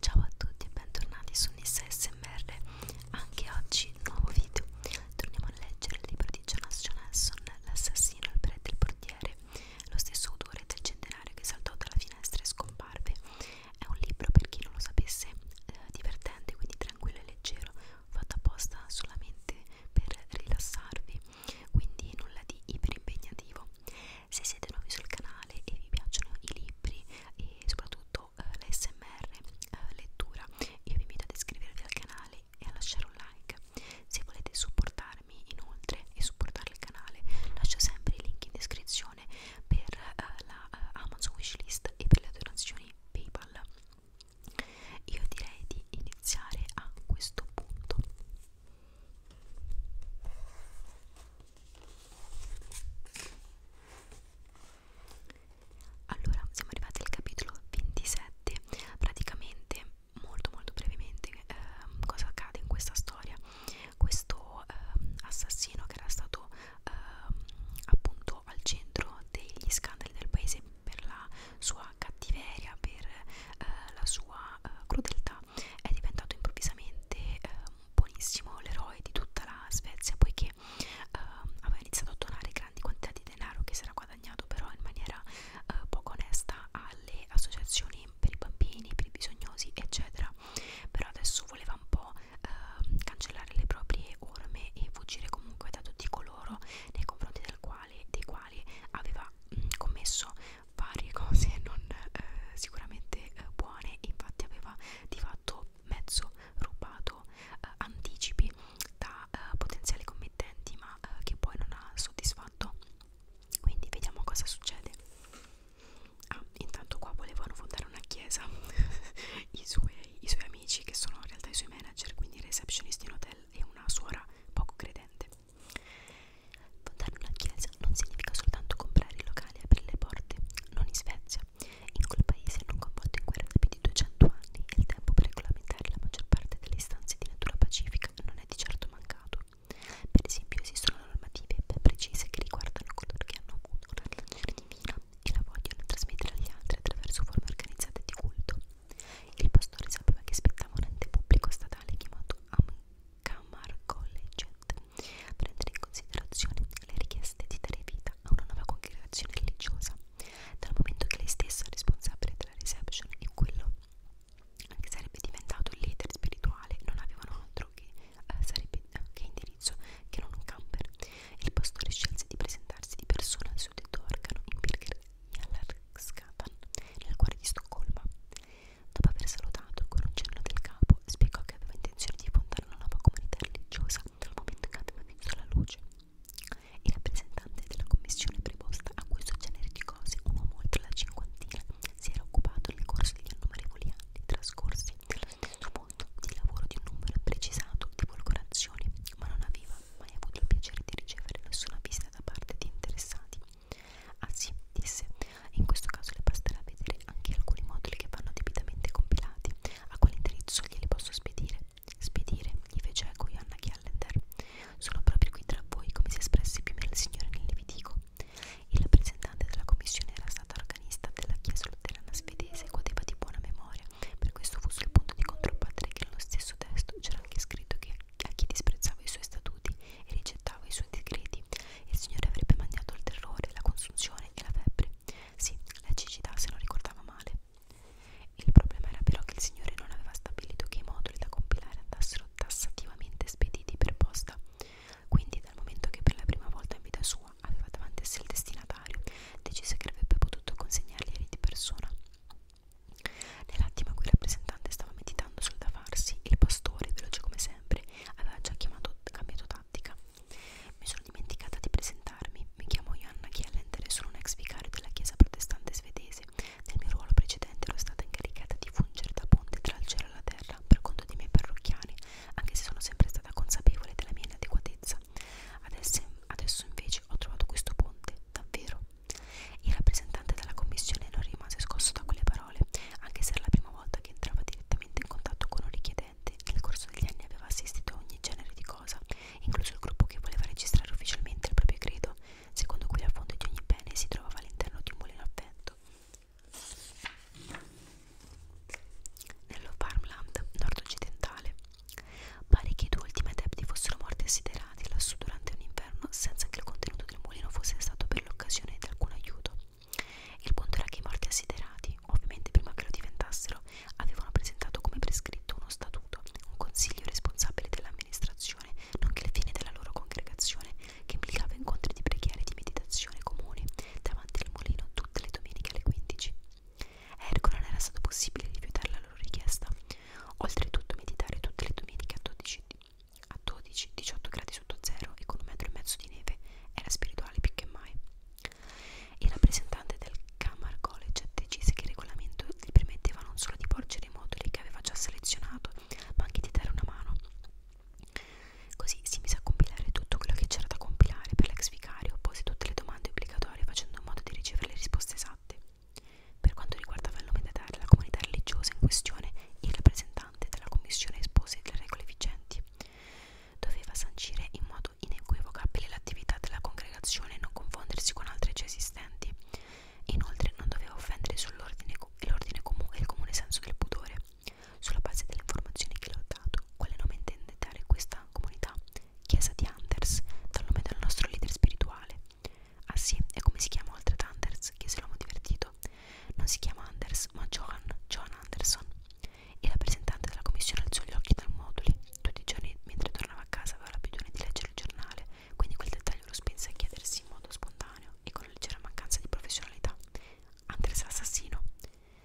Ciao a tutti e bentornati su Nissa SMR Anche oggi nuovo video Torniamo a leggere il libro di Jonas Jonasson L'assassino al prete del portiere Lo stesso autore del centenario che saltò dalla finestra e scomparve È un libro per chi non lo sapesse eh, divertente quindi tranquillo e leggero Fatto apposta solamente per rilassarvi Quindi nulla di iperimpegativo se siete nuovi sul canale e vi piacciono i libri e soprattutto eh, l'ASMR eh, lettura, io vi invito ad iscrivervi al canale e a lasciare un like. Se volete supportarmi inoltre e supportare il canale, lascio sempre i link in descrizione per eh, la eh, Amazon Wishlist e per le donazioni PayPal. Io direi di iniziare a questo punto. Allora, siamo arrivati al capitolo 27, praticamente molto molto brevemente eh, cosa accade in questa storia. Questo eh, assassino che era stato eh, appunto al centro degli scandali del paese per la sua cattiveria, per eh, la sua eh, crudeltà, è diventato improvvisamente eh, buonissimo l'eroe di tutta la Svezia poiché eh, aveva iniziato a donare grandi quantità di denaro che si era guadagnato però in maniera eh, poco onesta alle associazioni per i bambini, per i bisognosi eccetera però adesso voleva un po' eh, cancellare le proprie orme e fuggire comunque da tutti coloro nei confronti del quale, dei quali aveva mh, mm, commesso varie cose non eh, sicuramente eh, buone infatti aveva di fatto mezzo rubato eh, anticipi da eh, potenziali committenti ma eh, che poi non ha soddisfatto quindi vediamo cosa succede ah intanto qua volevano fondare una chiesa I, suoi, i suoi amici che sono in realtà i suoi manager quindi receptionisti in hotel e una suora poco credente Fondare una chiesa non significa soltanto comprare i locali e aprire le porte, non in Svezia, in quel paese non coinvolto in guerra da più di 200 anni e il tempo per regolamentare la maggior parte delle istanze di natura pacifica non è di certo mancato. Per esempio esistono normative ben precise che riguardano coloro che hanno avuto una relazione divina e la vogliono trasmettere agli altri attraverso forme organizzate di culto. Il pastore sapeva che spettava un ente pubblico statale chiamato Am Camargolegget a prendere in considerazione le richieste di dare vita a una nuova congregazione religiosa, dal momento che lei stessa è responsabile della reception e quello che sarebbe diventato il leader spirituale non avevano altro che, eh, sarebbe, eh, che indirizzo che non un camper. Il pastore scelse di presentarsi di persona al suddetto organo in Birger Jalarksgatan, nel cuore di Stoccolma. Dopo aver salutato con un cenno del capo, spiegò che aveva intenzione di fondare una nuova comunità religiosa dal momento che aveva visto la luce. Il rappresentante della commissione preposta a questo genere di cose, un uomo oltre la cinquantina, si era occupato nel corso degli innumerevoli anni trascorsi nello stesso mondo di lavoro di un numero imprecisato di volcorazioni, ma non aveva mai avuto il piacere di ricevere nessuna visita da parte di interessati. Ah sì, disse, in questo caso le basterà vedere anche alcuni moduli che vanno debitamente compilati. A quale indirizzo glieli posso spedire? Spedire, gli fece eco Johanna Callender. Sono proprio qui tra voi come si espresse più o meno il signore nel Levitico. Il rappresentante della commissione era stato organista della chiesa luterana svedese e godeva di buona memoria, per questo fu sul punto di controbattere che nello stesso testo c'era anche scritto che a chi disprezzava i suoi statuti e rigettava i suoi decreti, il Signore avrebbe mangiato il terrore, la consunzione e la febbre. Sì, la cecità se non ricordava male. Il problema era però che il Signore non aveva stabilito che i moduli da compilare andassero tassativamente spediti per posta. Quindi, dal momento che per la prima volta in vita sua aveva davanti a sé il destinatario, decise che avrebbe potuto consegnarglieli di persona. Nell'attimo in cui il rappresentante stava meditando sul da farsi, il pastore, veloce come sempre, sempre aveva già chiamato, cambiato tattica. Mi sono dimenticata di presentarmi. Mi chiamo Johanna Chiellenter e sono un ex vicario della chiesa protestante svedese. Nel mio ruolo precedente ero stata incaricata di fungere da ponte tra il cielo e la terra per conto dei miei parrocchiani, anche se sono sempre stata consapevole della mia inadeguatezza. Adesso, adesso invece ho trovato questo ponte, davvero. Il rappresentante della commissione non rimase scosso da quelle parole parole, anche se era la prima volta che entrava direttamente in contatto con un richiedente. Nel corso degli anni aveva assistito a ogni genere di cosa, incluso il gruppo che voleva registrare ufficialmente il proprio credo, secondo cui la fonte di ogni bene si trovava all'interno di un mulino avvento. Nello farmland nord-occidentale, pare che i due ultimi adepti fossero morti assiderati lassù durante un inverno all'interno senza che il contenuto del mulino fosse stato per l'occasione di alcun aiuto. Il punto era che i morti assiderati, ovviamente prima che lo diventassero, avevano presentato come prescritto uno statuto, un consiglio responsabile dell'amministrazione, nonché le fine della loro congregazione, che implicava incontri di preghiera e di meditazione comuni davanti al mulino tutte le domeniche alle 15. A Ergo non era stato possibile rifiutare la loro richiesta. Oltretutto meditare tutte le domeniche a 12, a 12-18 gradi sotto zero e con un metro e mezzo di neve era spirituale più che mai. Il rappresentante del Camar College decise che il regolamento gli permetteva non solo di porgere i moduli che aveva già selezionato, ma anche di dare una mano. Così si mise a compilare tutto quello che c'era da compilare per l'ex vicario, pose tutte le domande obbligatorie facendo in modo di ricevere le risposte esatte. Per quanto riguardava il nome da dare alla comunità religiosa in questione, il rappresentante della Commissione espose le regole vigenti. Doveva sancire in modo inequivocabile l'attività della congregazione e non confondersi con altre già esistenti. Inoltre non doveva offendere sull'ordine comune e il comune senso del pudore. Sulla base delle informazioni che le ho dato, quale nome intende dare questa comunità? Chiesa di Anders, dal nome del nostro leader spirituale. Ah sì, e come si chiama oltre ad Anders? chiese l'uomo divertito. Non si chiama Anders, ma Johan, John Anderson. Il rappresentante della commissione alzò gli occhi dal moduli. Tutti i giorni, mentre tornava a casa, aveva l'abitudine di leggere il giornale, quindi quel dettaglio lo spinse a chiedersi in modo spontaneo e con una leggera mancanza di professionalità. Anders l'assassino,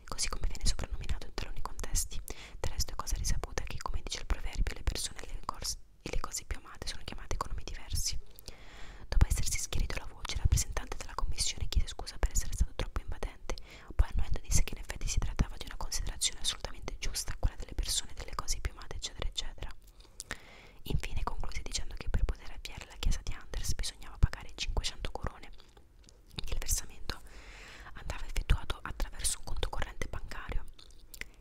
così come viene soprannominato in taluni contesti. Del resto è cosa risaputa che, come dice il proverbio, le persone e le, e le cose più amate sono chiamate con nomi diversi. Dopo essersi schierito la voce, il rappresentante della commissione chiese scusa per essere stato troppo invadente, poi annuendo disse che in effetti si trattava di una considerazione assolutamente giusta, quella delle persone, delle cose più amate, eccetera, eccetera. Infine concluse dicendo che per poter avviare la chiesa di Anders bisognava pagare 500 corone. Il versamento andava effettuato attraverso un conto corrente bancario.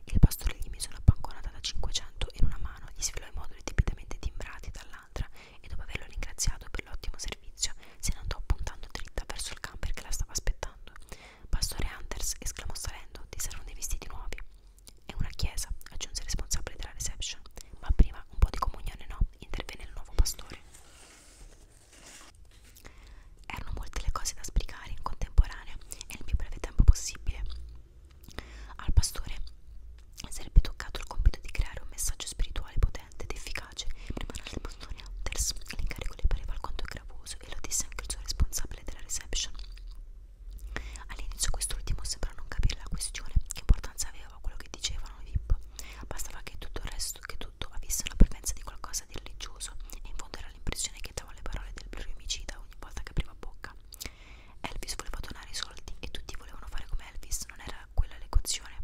Il pastore gli mise una banconota da 500 in una mano gli svelò i moduli debitamente timbrati dall'altra e dopo averlo ringraziato per l'ottimo servizio se ne andò puntando dritta verso il camper che la stava aspettando. Pastore Anders esclamò salendo, ti saranno dei vestiti nuovi. È una chiesa, aggiunse il responsabile della reception, ma prima un po' di comunione no, intervenne il nuovo pastore. Erano molte le cose da sbrigare in contemporanea e nel più breve tempo possibile. Al pastore sarebbe toccato il compito di creare un messaggio spirituale potente ed efficace. Prima del pastore Outers l'incarico le pareva alquanto gravoso e lo disse anche il suo responsabile della reception. All'inizio quest'ultimo sembra non capire la questione, che importanza aveva quello che dicevano i VIP. Bastava che tutto il resto, che tutto avesse una parvenza di qualcosa di religioso, e in fondo era l'impressione che dava le parole del pluriomicida ogni volta che apriva bocca. Elvis voleva donare i soldi e tutti volevano fare come Elvis, non era quella l'equazione.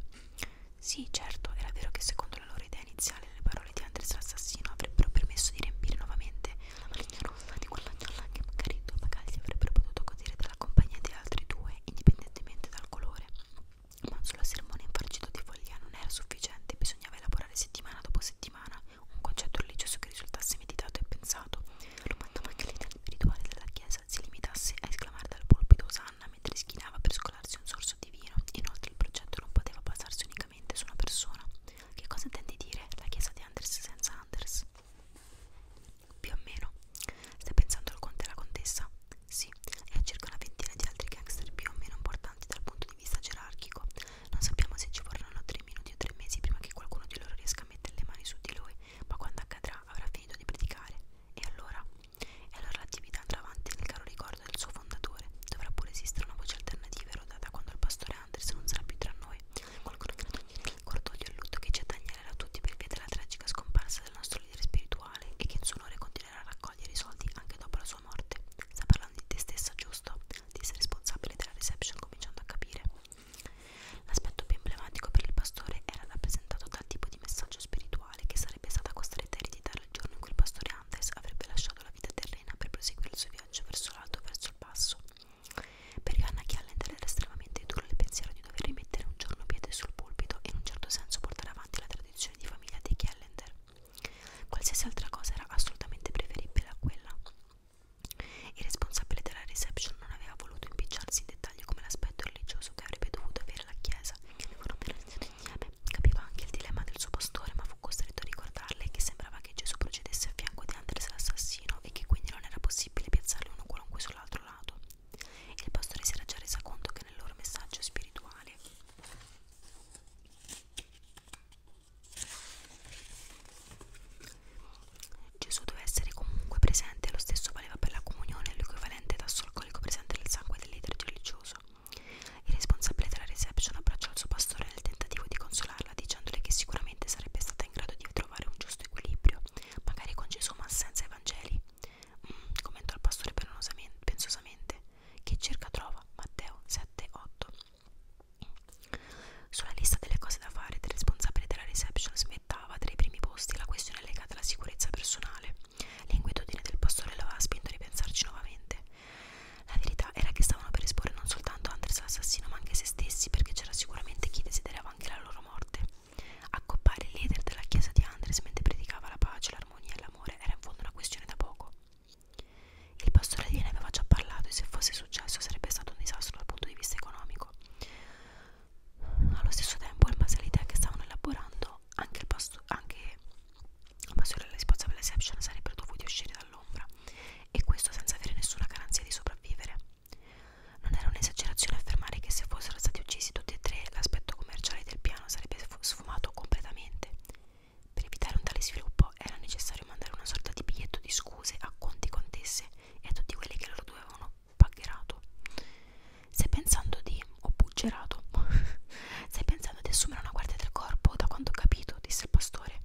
Sì, certo, era vero che secondo la loro idea iniziale le parole di Andres l'assassino avrebbero permesso di riempire nuovamente la maligna rossa di quell'agnola che magari due bagagli avrebbero potuto godere della compagnia di altri due, indipendentemente dal colore. Ma solo sermone infarcito di follia non era sufficiente, bisognava elaborare settimana dopo settimana un concetto religioso che risultasse meditato e pensato. Lo mandava che l'idea spirituale della chiesa si limitasse a esclamare dal pulpito Osanna mentre schinava per scolarsi un sorso di vino. Inoltre il progetto non poteva basarsi unicamente su una persona. Che cosa intendi dire la chiesa di Anders senza Anders? Più o meno. Stai pensando al conte e alla contessa? Sì, e a circa una ventina di altri gangster più o meno importanti dal punto di vista gerarchico. Non sappiamo se ci vorranno tre minuti o tre mesi prima che qualcuno di loro riesca a mettere le mani su di lui, ma quando accadrà avrà finito di predicare. E allora? E allora l'attività andrà avanti nel caro ricordo del suo fondatore. Dovrà pure esistere una voce alternativa erodata quando il pastore Anderson non sarà più tra noi. Qualcuno che cordoglio e lutto che ci attagnerà a tutti per via della tragica scomparsa del nostro leader spirituale e che in suo onore continuerà a raccogliere i soldi anche dopo la sua morte. Sta parlando di te stessa, giusto? Di essere responsabile della reception cominciando a capire. L'aspetto più emblematico per il pastore era rappresentato dal tipo di messaggio spirituale che sarebbe stata costretta a ereditare il giorno in cui il pastore Antes avrebbe lasciato la vita terrena per proseguire il suo viaggio verso l'alto e verso il basso. Per Johanna Chiallender era estremamente duro il pensiero di dover rimettere un giorno piede sul pulpito e in un certo senso portare avanti la tradizione di famiglia dei Chiallender. Qualsiasi altra cosa era assolutamente preferibile a quella. Il responsabile della reception non aveva voluto impicciarsi in dettagli come l'aspetto religioso che avrebbe dovuto avere la chiesa che avevano relazione insieme. Capiva anche il dilemma del suo pastore, ma fu costretto a ricordarle che sembrava che Gesù procedesse a fianco di Andres l'assassino e che quindi non era possibile piazzarli uno qualunque sull'altro lato. Il pastore si era già resa conto che nel loro messaggio spirituale Gesù deve essere comunque presente, lo stesso valeva per la comunione, l'equivalente tasso alcolico presente nel sangue del leader religioso. Il responsabile della reception abbracciò il suo pastore nel tentativo di consolarla, dicendole che sicuramente sarebbe stata in grado di trovare un giusto equilibrio, magari con Gesù ma senza Evangeli. Mm, commentò il pastore pensosamente. Chi cerca trova, Matteo 7,8. Sulla lista delle cose da fare del responsabile della reception smettava tra i primi posti la questione legata alla sicurezza personale. L'inquietudine del pastore l'aveva spinto a ripensarci nuovamente. La verità era che stavano per esporre non soltanto Anders l'assassino, ma anche se stessi, perché c'era sicuramente chi desiderava anche la loro morte. Accoppare il leader della chiesa di Andres mentre predicava la pace, l'armonia e l'amore era in fondo una questione da poco. Il pastore gliene aveva già parlato e se fosse successo sarebbe stato un disastro dal punto di vista economico. Allo stesso tempo, in base all'idea che stavano elaborando, anche il pastore, anche la pastore della responsabile reception sarebbero dovuti uscire dall'ombra e questo senza avere nessuna garanzia di sopravvivere. Non era un'esagerazione affermare che se fossero stati uccisi tutti e tre, l'aspetto commerciale del piano sarebbe sfumato completamente. Per evitare un tale sviluppo, tempo era necessario mandare una sorta di biglietto di scuse a quanti contesse e a tutti quelli che loro due avevano paghierato. Stai pensando di. o buggerato. Stai pensando di assumere una guardia del corpo? Da quanto ho capito, disse il pastore.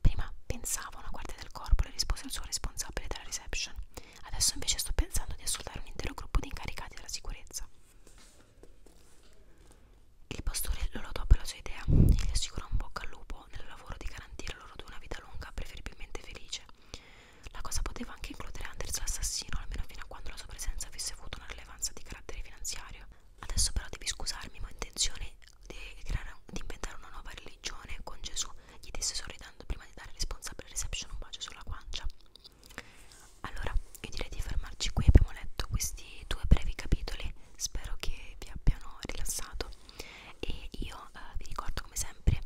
Prima pensavo a una guardia del corpo, le rispose il suo responsabile della reception. Adesso invece sto pensando di assoldare un intero gruppo di incaricati della sicurezza. Il pastore lo lodò per la sua idea e gli assicurò un bocca al lupo scopo nel lavoro di garantire loro due una vita lunga, preferibilmente felice. La cosa poteva anche includere Anders l'assassino, almeno fino a quando la sua presenza avesse avuto una rilevanza di carattere finanziario. Adesso però devi scusarmi, ma ho intenzione di, creare, di inventare una nuova religione con Gesù, gli disse sorridendo prima di dare responsabile reception un bacio sulla guancia. Allora, io direi di fermarci qui, abbiamo letto questi due brevi capitoli, spero che vi abbiano rilassato e io eh, vi ricordo come sempre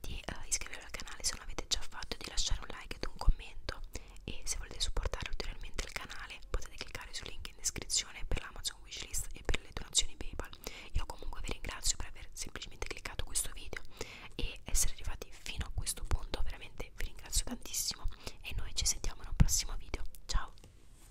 di eh, iscrivervi al canale se non l'avete già fatto di lasciare un like ed un commento e se volete supportare ulteriormente il canale potete cliccare sul link in descrizione per l'Amazon Wishlist e per le donazioni Paypal io comunque vi ringrazio per aver semplicemente cliccato questo video e essere arrivati fino a questo punto veramente vi ringrazio tantissimo e noi ci sentiamo in un prossimo video ciao